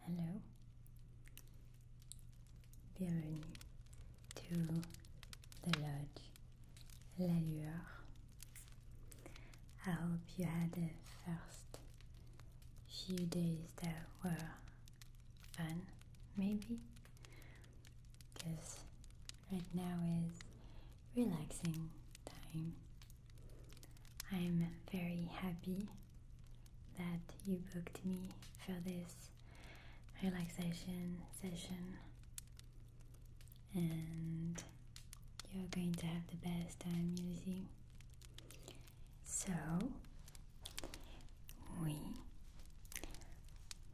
Hello, bienvenue to the lodge La Lueur. I hope you had the first few days that were fun, maybe, because right now is relaxing time I'm very happy that you booked me for this relaxation session, and you're going to have the best time using. So, we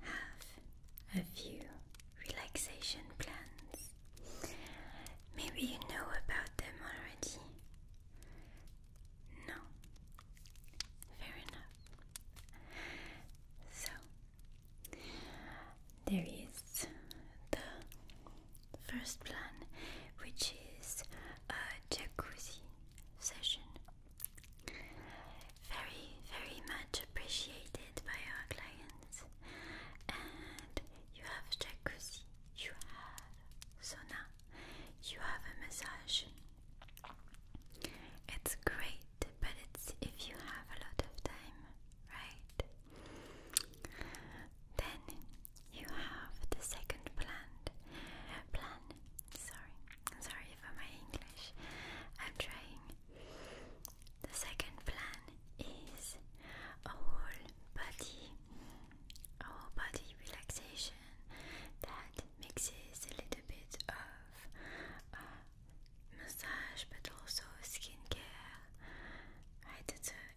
have a few relaxation plans. Maybe you know about them already, no. Fair enough. So, there is the first plan, which is a jacuzzi session. Very, very much appreciated by our clients. And you have jacuzzi, you have sauna, you have a massage. It's great, but it's if you have a lot of time, right? Then you have the second plan. Plan. Sorry, sorry for my English. I'm trying. The second plan is a whole body our body relaxation that mixes a little bit of massage but also skincare.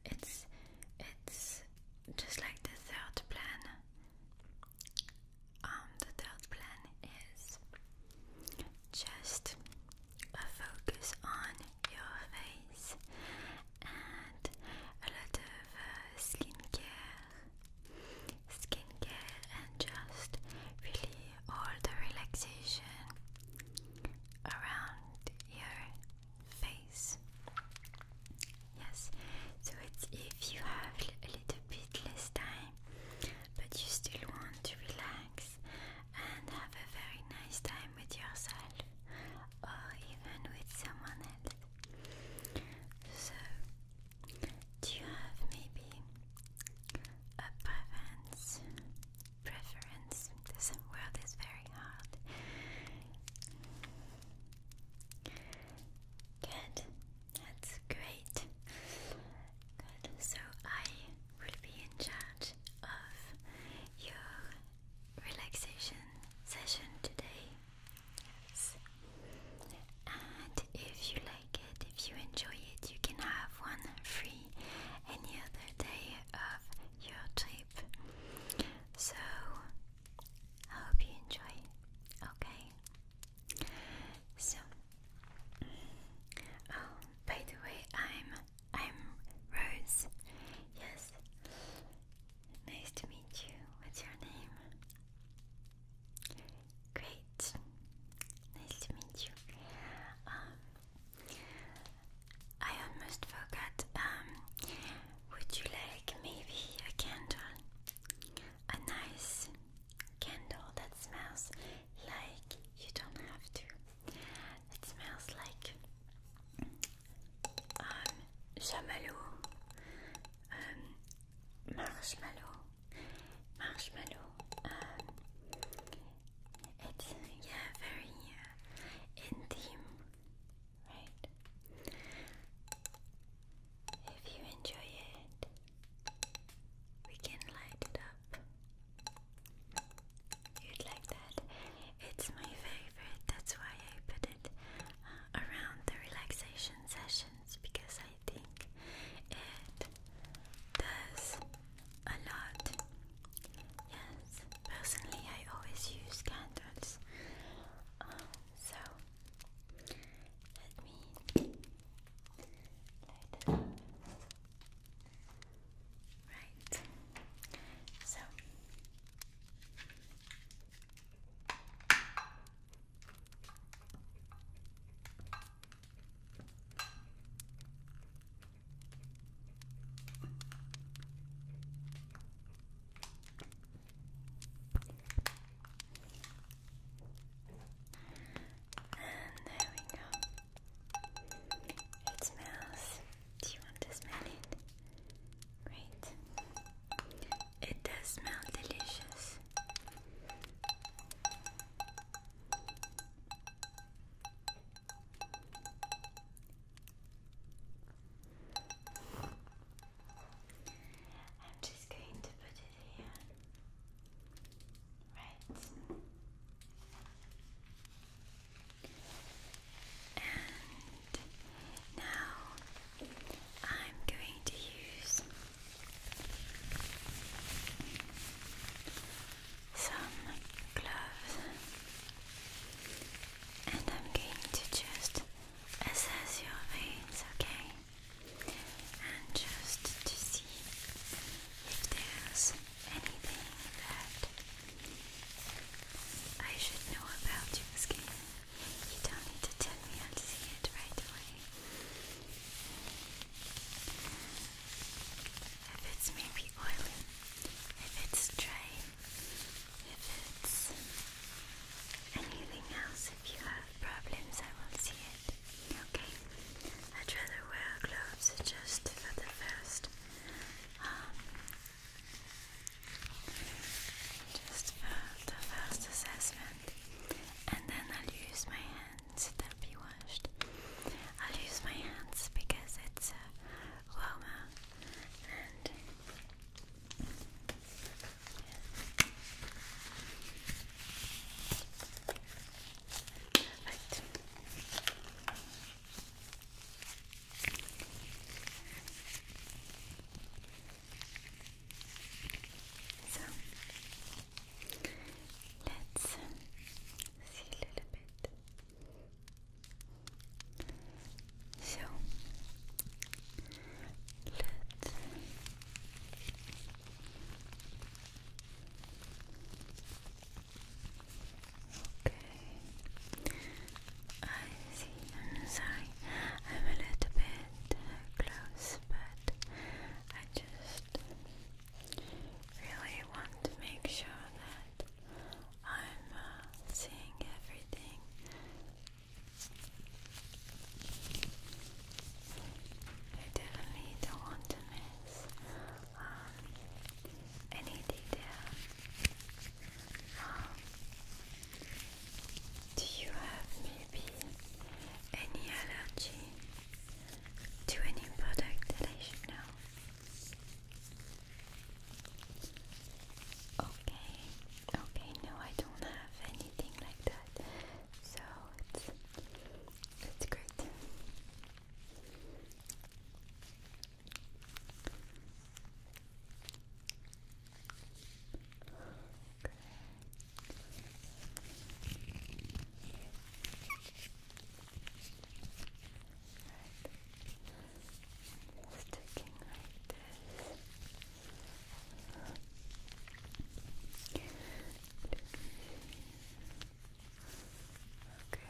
it's it's just like the third plan. Um, the third plan is just a focus on your face and a lot of uh, skincare, skincare, and just really all the relaxation around your face. Yes, so it's if you have a little bit less time, but you still want to relax and have a very nice time with yourself or even with someone else. So, do you have maybe a preference? Preference? This world is very hard. Good, that's great. Good, so I will be in charge of your relaxation session today. Yes. And if you like it, if you enjoy it, you can have one free any other day of your trip. So, I hope you enjoy. Okay? So, oh, by the way, I'm I'm Rose. Yes. Nice to meet you. What's your name? Great. Nice to meet you. Um, I almost forgot. Um, would you like maybe a candle? A nice candle that smells like you don't have to. It smells like um, um, marshmallow, marshmallow. Um, it's yeah, very uh, intimate, right? If you enjoy it, we can light it up. You'd like that? It's my favorite, that's why I put it uh, around the relaxation sessions because I think it does a lot. Yes, personally, I always use candles. Um, so let me Right. So. And there we go. It smells. Do you want to smell it? Great. It does smell delicious. I'm just going to put it here. Right. And now I'm going to use some gloves and I'm going to just assess your veins, okay? And just to see if there's anything that I should know about your skin. You don't need to tell me i to see it right away. If it's maybe oily, if it's dry, if it's anything else, if you have problems, I will see it. Okay? I'd rather wear gloves just for the first. Um, just for the first assessment hand and then I'll use my hands, they be washed. I'll use my hands because it's uh, warmer and so let's see a little bit. So let's Okay. I see. I'm sorry. I'm a little bit close, but I just really want to make sure that I'm uh, seeing everything. I definitely don't want to miss um, any detail. Um, do you have maybe any allergy to any product that I should know? Okay, okay, no, I don't have anything like that, so it's, it's great. Good. Right. Sticking like this. Okay.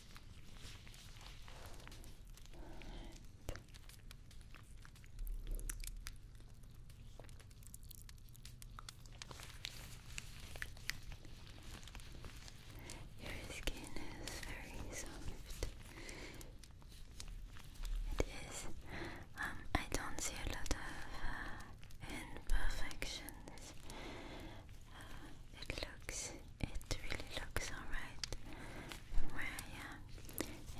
Right. Your skin is very soft. It is. Um, I don't see a lot of uh, imperfections it looks, it really looks alright where I am.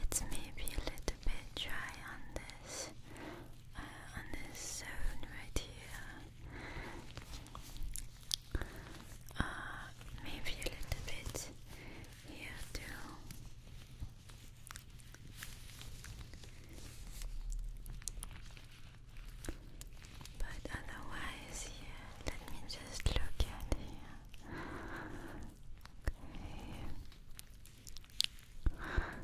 It's maybe a little bit dry on this, uh, on this zone right here. Uh, maybe a little bit here too. But otherwise, yeah, let me just look at here. Okay. All right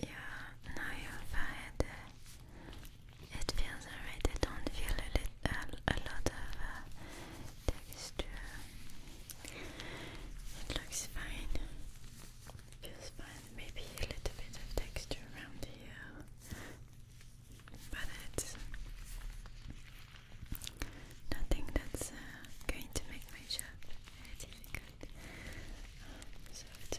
yeah, now your forehead, it feels alright, I don't feel a, lit a lot of texture, it looks fine, feels fine, maybe a little bit of texture around here, but it's nothing that's uh, going to make my job very difficult. it's perfect. Alright.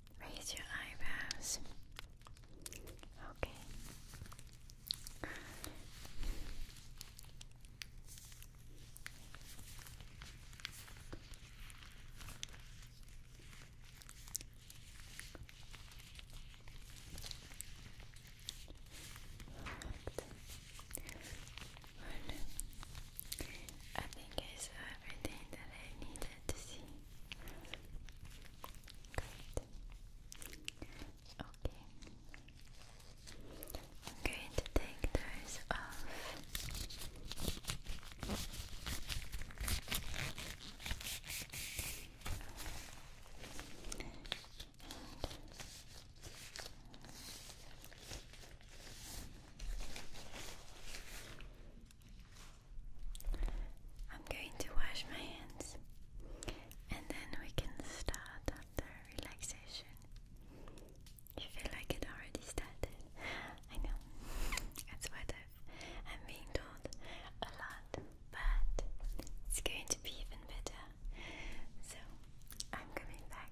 Raise your eyebrows. Okay. Good. I think I saw everything that I needed to see. Good. Okay. I'm going to take those off. I'm going to wash my hands and then we can start the relaxation. You feel like it already started. I know. That's what i am being told a lot, but it's going to be even better. So I'm coming back.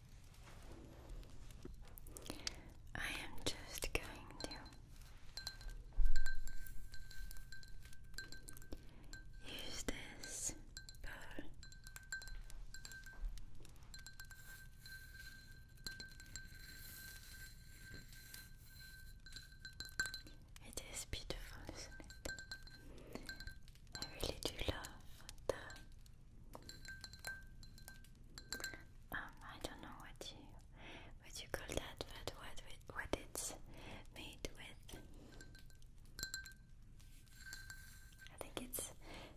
I am just going to use this it is beautiful, isn't it? I really do love the um, I don't know what you what you call that, but what what it's made with. I think it's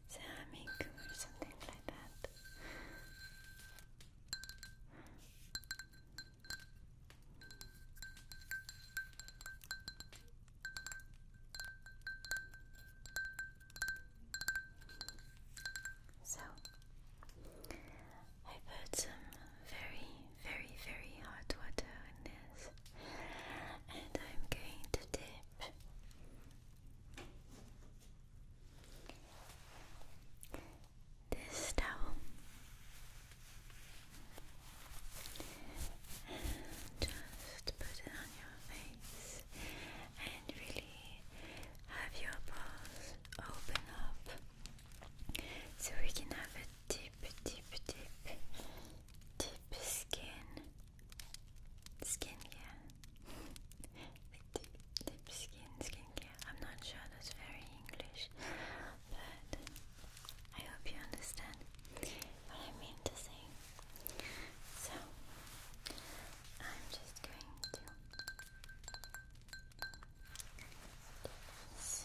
ceramic or something like that. So, I put some very, very, very hot water in this, and I'm going to dip this towel and just put it on your face and really have your pores open up so we can have a deep, deep, deep, deep skin. Skin care. deep, deep skin, skin care. I'm not sure that's very English, but I hope you understand I mean to say. So I'm just going to do this.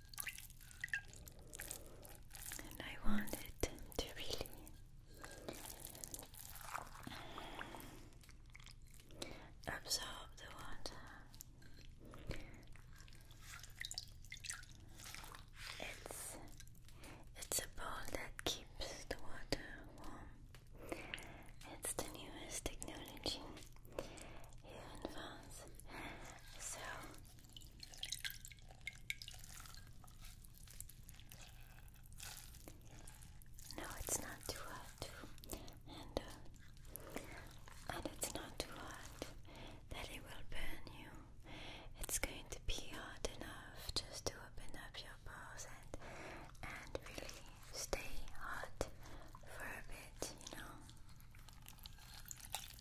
And I wanted to really absorb the water. It's it's a bowl that keeps the water warm. It's the newest technology here in So no, it's not too hot, and uh, and it's not too hot that it will burn you. It's going to be hot enough just to open up your pores and and really stay hot for a bit, you know.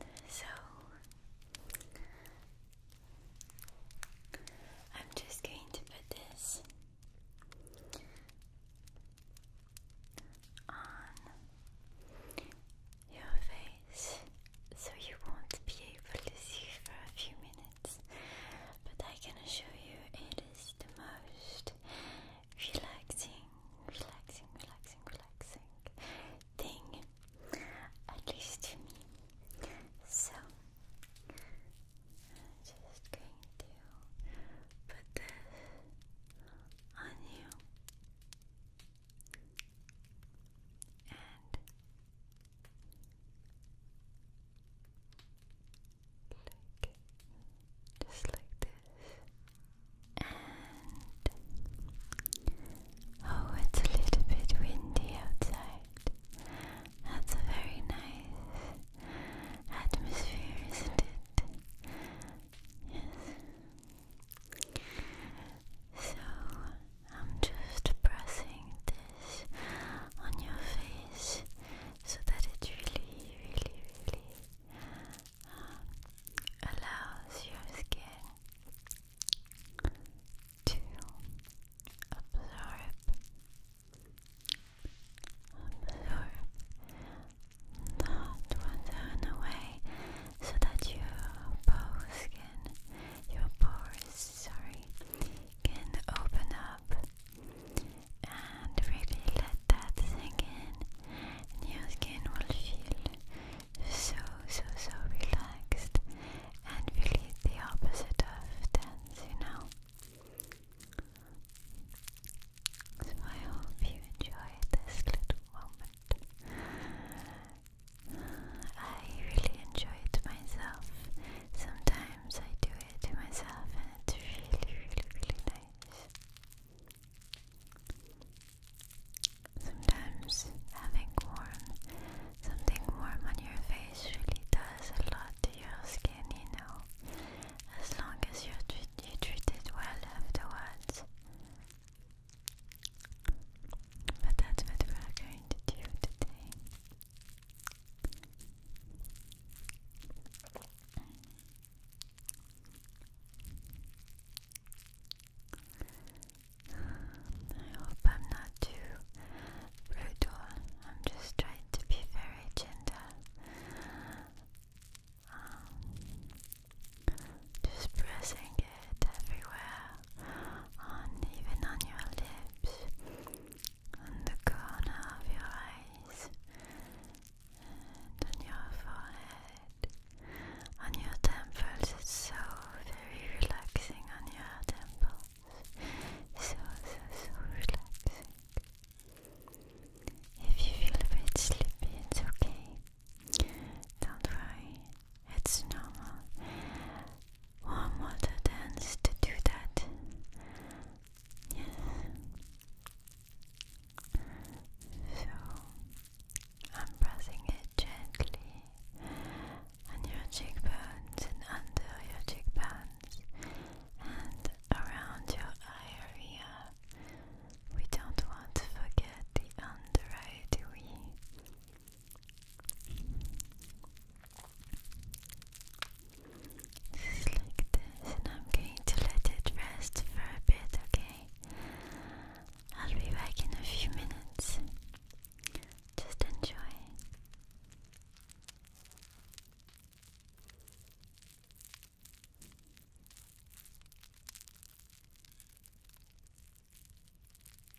And so I'm just going to put this on your face so you won't be able to see for a few minutes, but I can assure you it is the most relaxing, relaxing, relaxing, relaxing thing, at least to me. So, I'm just going to put this on you and like just like this and oh it's a little bit windy outside that's a very nice atmosphere isn't it yes so I'm just pressing this on your face so that it really, really, really um, allows your skin to absorb, absorb not one away so that your pores skin, your pores sorry, can open up and really let that sink in, your skin will feel so, so, so relaxed and really the opposite of tense, you know. So I hope you enjoyed this little moment. I really enjoy it myself. Sometimes I do it to myself and it's really, really, really nice. Sometimes having warm, something warm on your face really does a lot to your skin, you know. As long as you, are treated well afterwards. But that's what we are going to do today. I hope I'm not too brutal. I'm just trying to be very gentle. Um, just pressing it everywhere on even on your lips, on the corner of your eyes, and on your forehead, on your temples. It's so very relaxing on your temples. So, so, so relaxing. If you feel a bit sleepy, it's okay. Don't worry, it's normal warm water dance to do that. Yes. So I'm pressing it gently on your cheekbones and under your cheekbones and around your eye area. We don't want to forget the under eye, do we? Just like this, and I'm going to let it rest for a bit, okay? I'll be back in a few minutes. Just enjoy.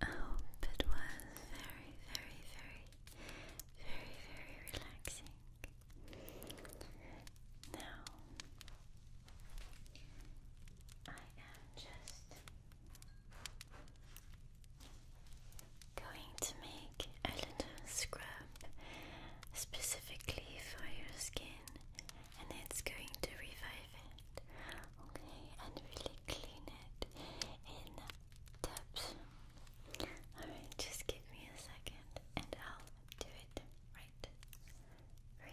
Oh, I hope was very, very, very, very, very relaxing. Now, I am just going to make a little scrub specifically for your skin, and it's going to revive it. Okay, and really clean it in depth. Alright, just give me a second and I'll do it right for you.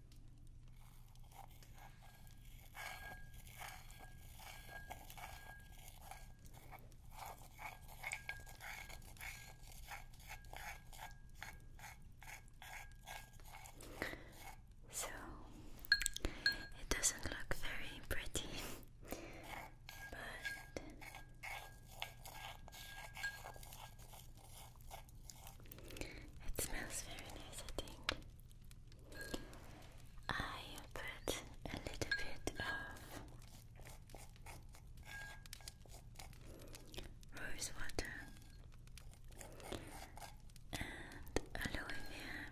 So it doesn't look very pretty, but it smells very nice, I think. I put a little bit of rose water and aloe vera,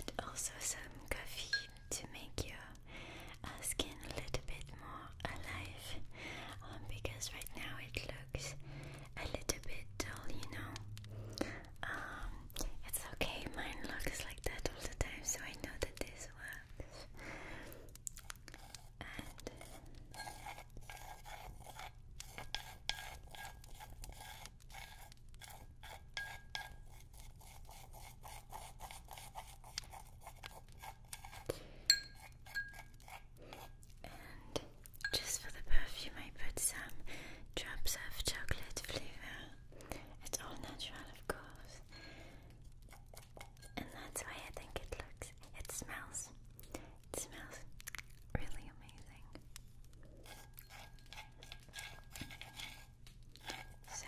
but also some coffee to make your our uh, skin a little bit more alive um, because right now it looks a little bit dull, you know. Um, it's okay, mine looks like that all the time, so I know that this works. And just for the perfume, I put some drops of chocolate flavor. It's all natural, of course. And that's why I think it looks, it smells, it smells really amazing. So,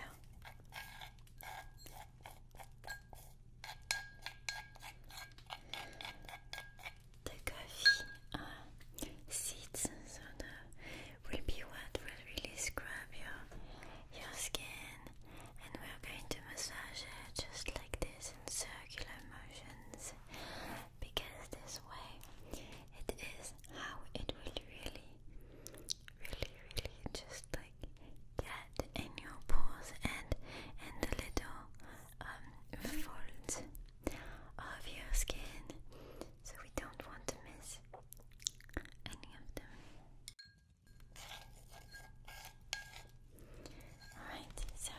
the coffee uh, seeds so will be what will really scrub your, your skin and we're going to massage it just like this in circular motions because this way it is how it will really really, really just like get in your pores and in the little um, folds of your skin. So we don't want to miss any of them. Alright, so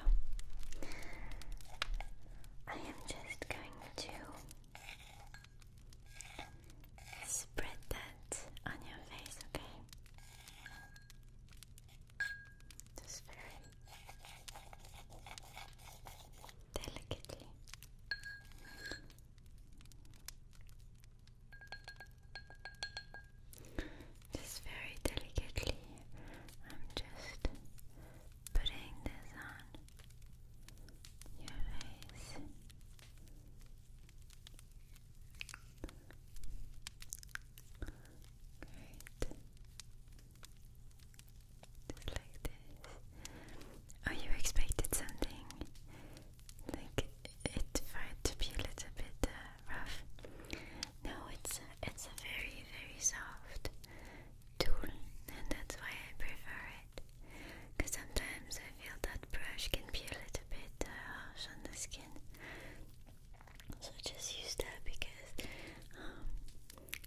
I am just going to spread that on your face, okay? Just very delicately. Just very delicately, I'm just putting this on your face. Just like this. Oh, you expected something like it might to be a little bit uh, rough. No, it's uh, it's a very very soft tool, and that's why I prefer it. Because sometimes I feel that brush can be a little bit uh, harsh on the skin. So I just use that because um,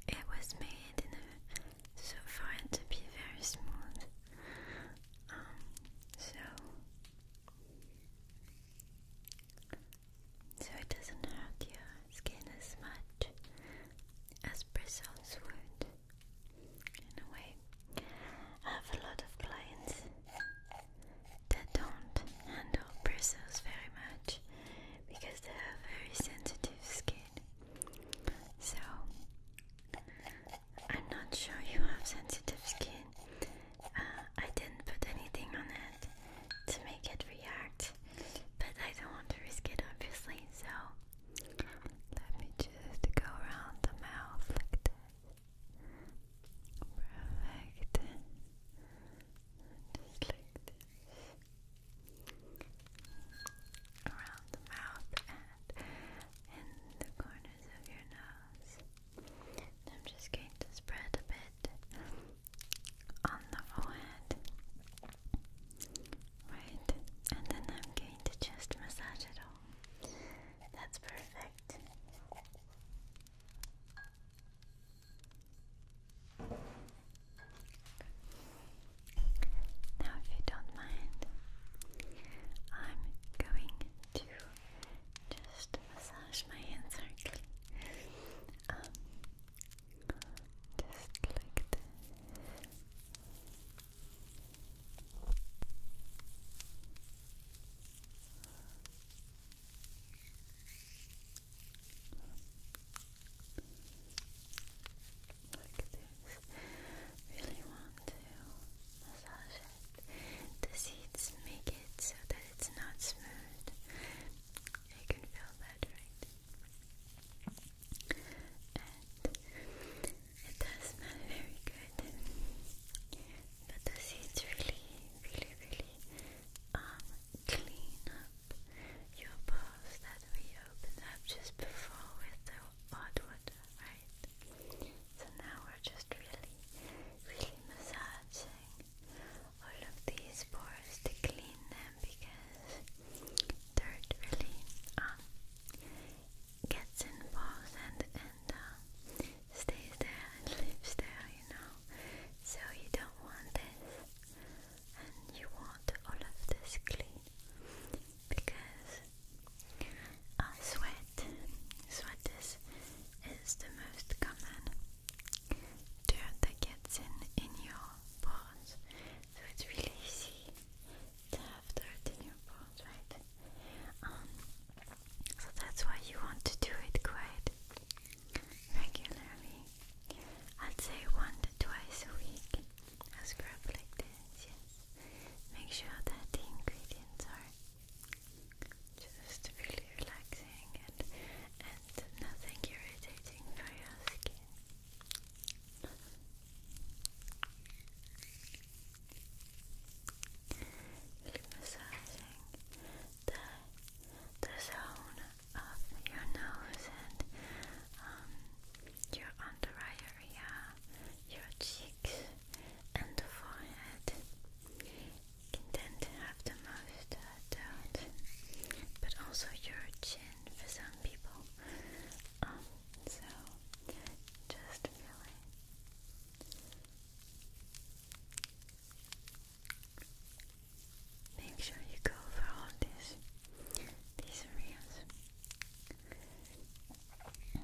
it was made in a, so for it to be very smooth. Um, so so it doesn't hurt your skin as much as bristles would. In a way, I have a lot of clients that don't handle bristles very much because they have very sensitive skin. So, I'm not sure you have sensitive skin. Uh, I didn't put anything on it to make it react, but I don't want to risk it obviously, so let me just go around the mouth like that. Perfect. Just like this. Around the mouth and in the corners of your nose. I'm just going to spread a bit on the forehead. Right. And then I'm going to just massage it all. That's perfect. Now, if you don't mind, I'm going to just massage my hands gently. Um, just like like this. Really want to massage it. The seeds make it so that it's not smooth. I can feel that right. And it does smell very good but the seeds really, really, really um, clean up your pores that we opened up just before with the hot water, right? So now we're just really, really massaging all of these pores to clean them because dirt really um, gets in pores and, and uh, stays there and lives there, you know. So you don't want this, and you want all of this clean because sweat, sweat is, is the most common dirt that gets in in your pores. So it's really easy to have dirt in your pores, right? Um, so that's why you want to do it quite regularly. I'd say once, to twice a week. A scrub like this, yes. Make sure that the ingredients are just really relaxing and and nothing irritating for your skin. Really massaging the, the zone of your nose and um, your under eye area, your cheeks, and the forehead. tend to have the most uh, but also your chin for some people. Um, so just feeling. Make sure you go over all this these areas. Okay,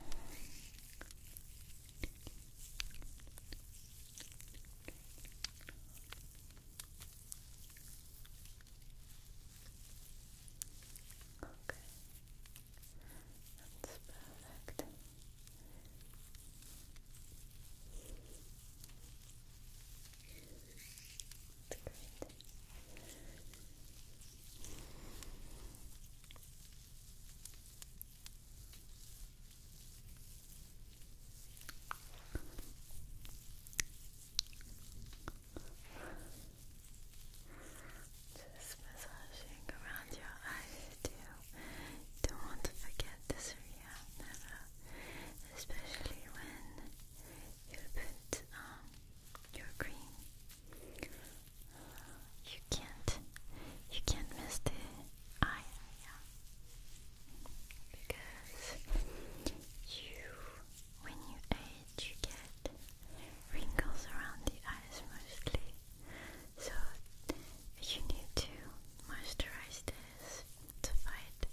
that's perfect. That's great. Just massaging around your eyes too don't want to forget this for you, never. Especially when you put um, your cream, you can't, you can't miss the eye area because you, when you age, you get wrinkles around the eyes mostly. So you need to moisturize this to fight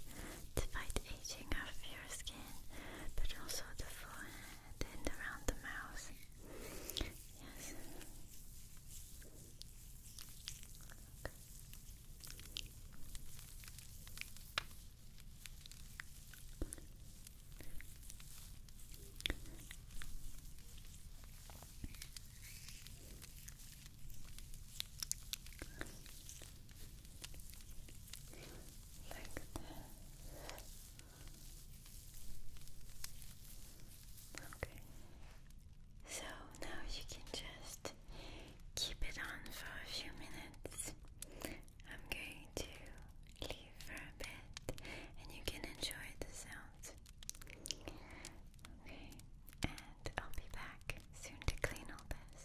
to fight aging of your skin, but also the forehead and around the mouth. Yes. Like this. Okay. So now you can just keep it on for a few minutes. I'm going to leave for a bit and you can enjoy the sounds. Okay, and I'll be back soon to clean all this.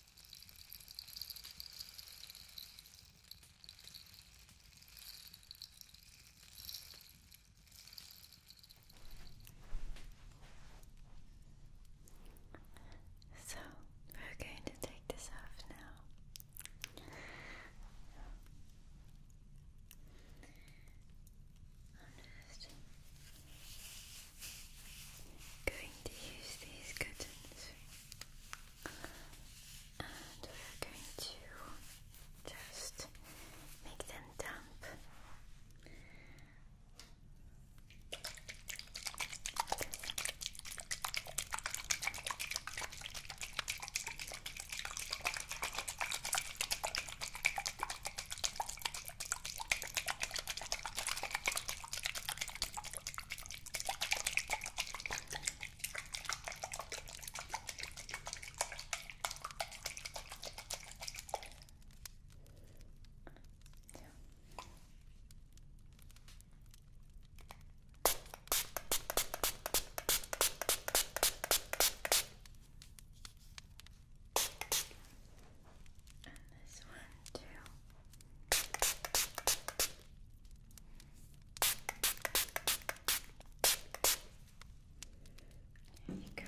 So we're going to take this off now going to use these curtains and we're going to just make them damp and this one too. There you go.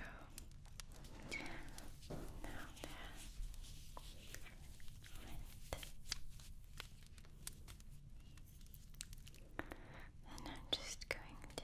Now that and I'm just going to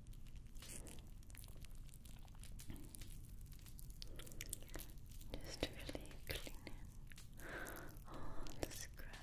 Just really cleaning all the scrap.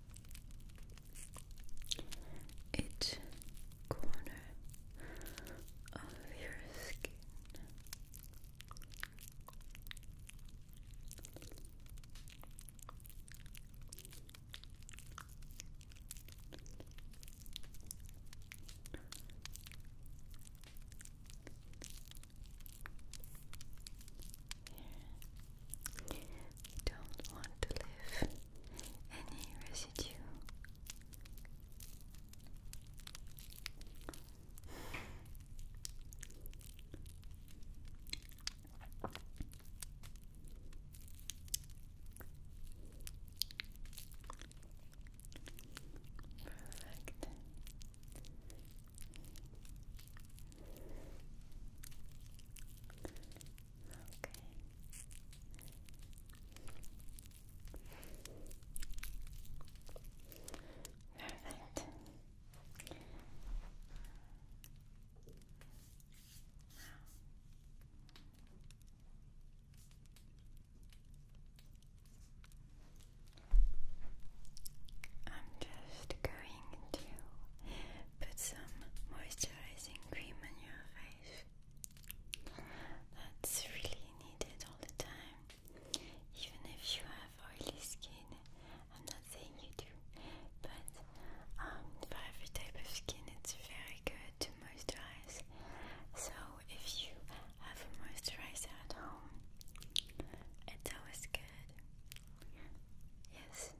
each corner of your skin. Here. We don't want to leave any residue. Perfect. Perfect. Now, I'm just going to put some moisturizing cream on your face. That's really needed all the time. Even if you have oily skin, I'm not saying you do, but um, for every type of skin, it's very good to moisturize. So, if you have a moisturizer at home, it's always good. Yes,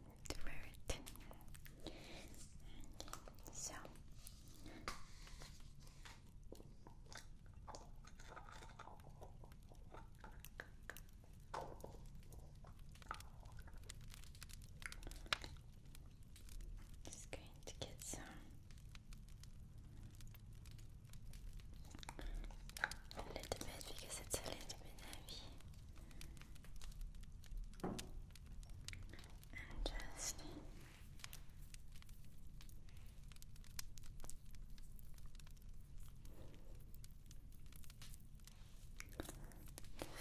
so just going to get some a little bit because it's a little bit heavy. And just just uh,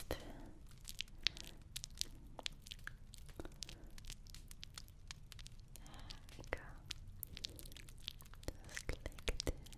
there we go. Just click this.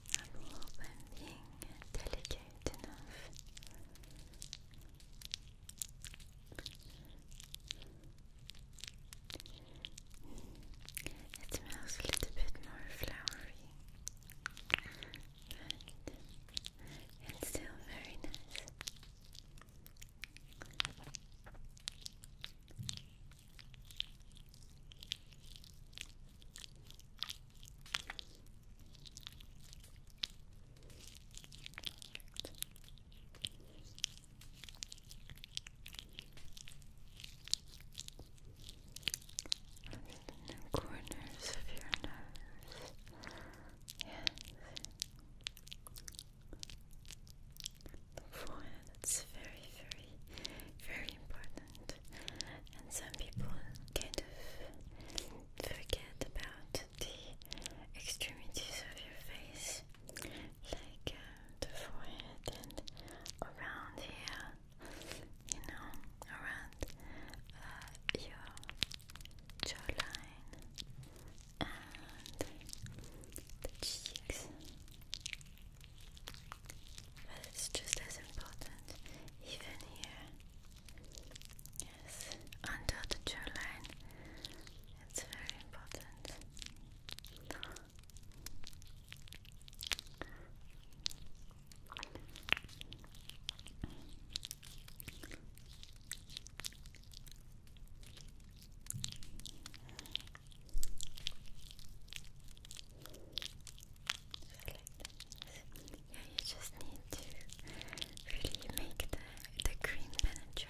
I will hope being delicate enough. It smells a little bit more flowery, but it's still very nice the corners of your nose. Yes. The forehead, it's very, very, very important. And some people kind of forget about the extremities of your face, like uh, the forehead and around here, you know, around uh, your jawline and the cheeks. it's just as important, even here Yes, under the jawline. It's very important. Yeah, you just need to really make the the cream penetrate.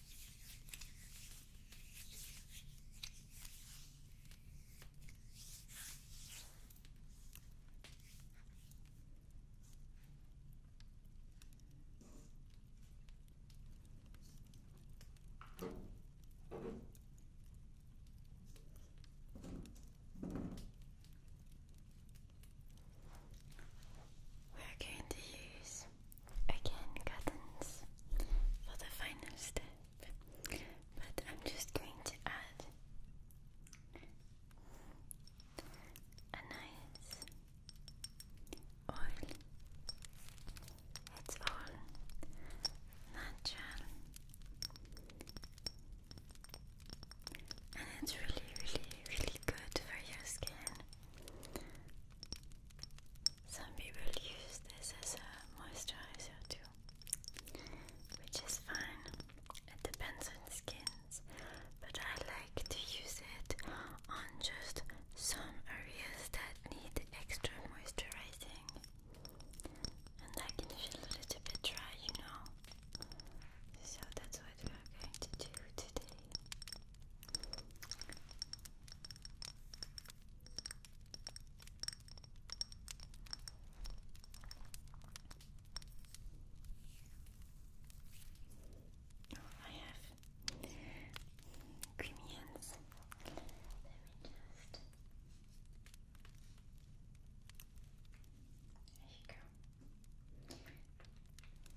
We're going to use again curtains for the final step, but I'm just going to add a nice oil. It's all natural and it's really, really, really good for your skin. Some people use this as a moisturizer too, which is fine. It depends on skins, but I like to use it on just some areas that need extra moisturizing. And I can feel a little bit dry, you know. So that's what we are going to do today. Oh, I have creamy Let me just. There you go.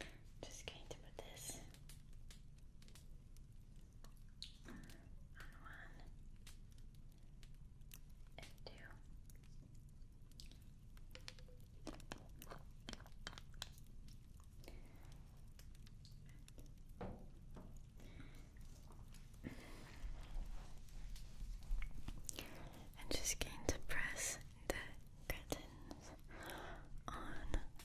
I'm just going to put this on one and two. just going to press the curtains on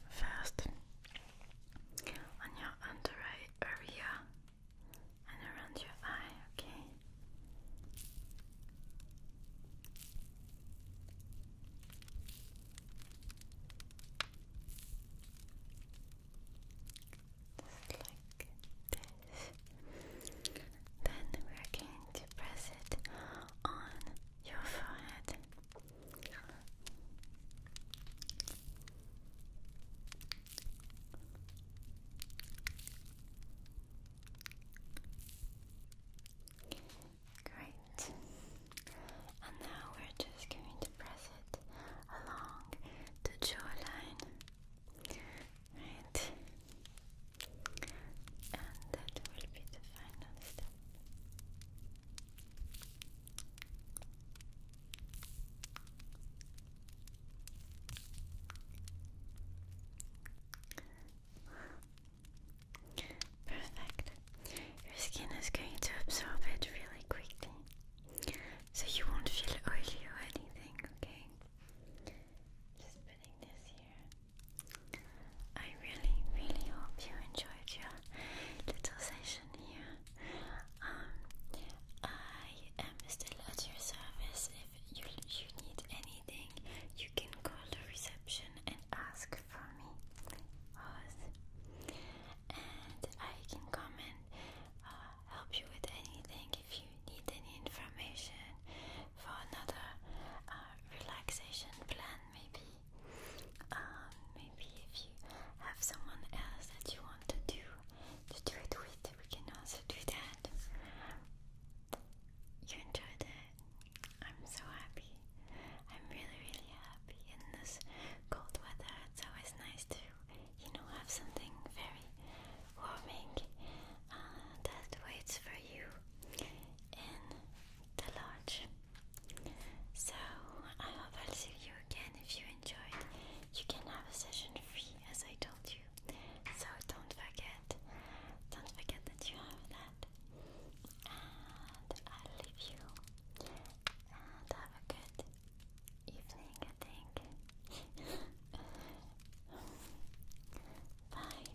first on your under eye area and around your eye, okay? Just like this. Then we're going to press it on your forehead. Great. And now we're just going to press it along the jawline. And that will be the final step. Perfect. Your skin is going to absorb it really quickly. So you won't feel oily or anything, okay? Just putting this here. I really, really hope you enjoyed your little session here. Um, I am still at your service. If you, you need anything, you can call the reception and ask for me. And I can comment and uh, help you with anything if you need any information for another uh, relaxation plan, maybe um, maybe if you have someone else that you want to do to do it with, we can also do that. You enjoyed it. I'm so happy. I'm really, really happy in this cold weather. It's always nice to, you know, have something very warming uh, that waits for you in the lodge. So I hope I'll see you again if you enjoyed. You can have a session free as I told you. So don't forget, don't forget that you have that. And I'll leave you. And have a good evening, I think. Bye.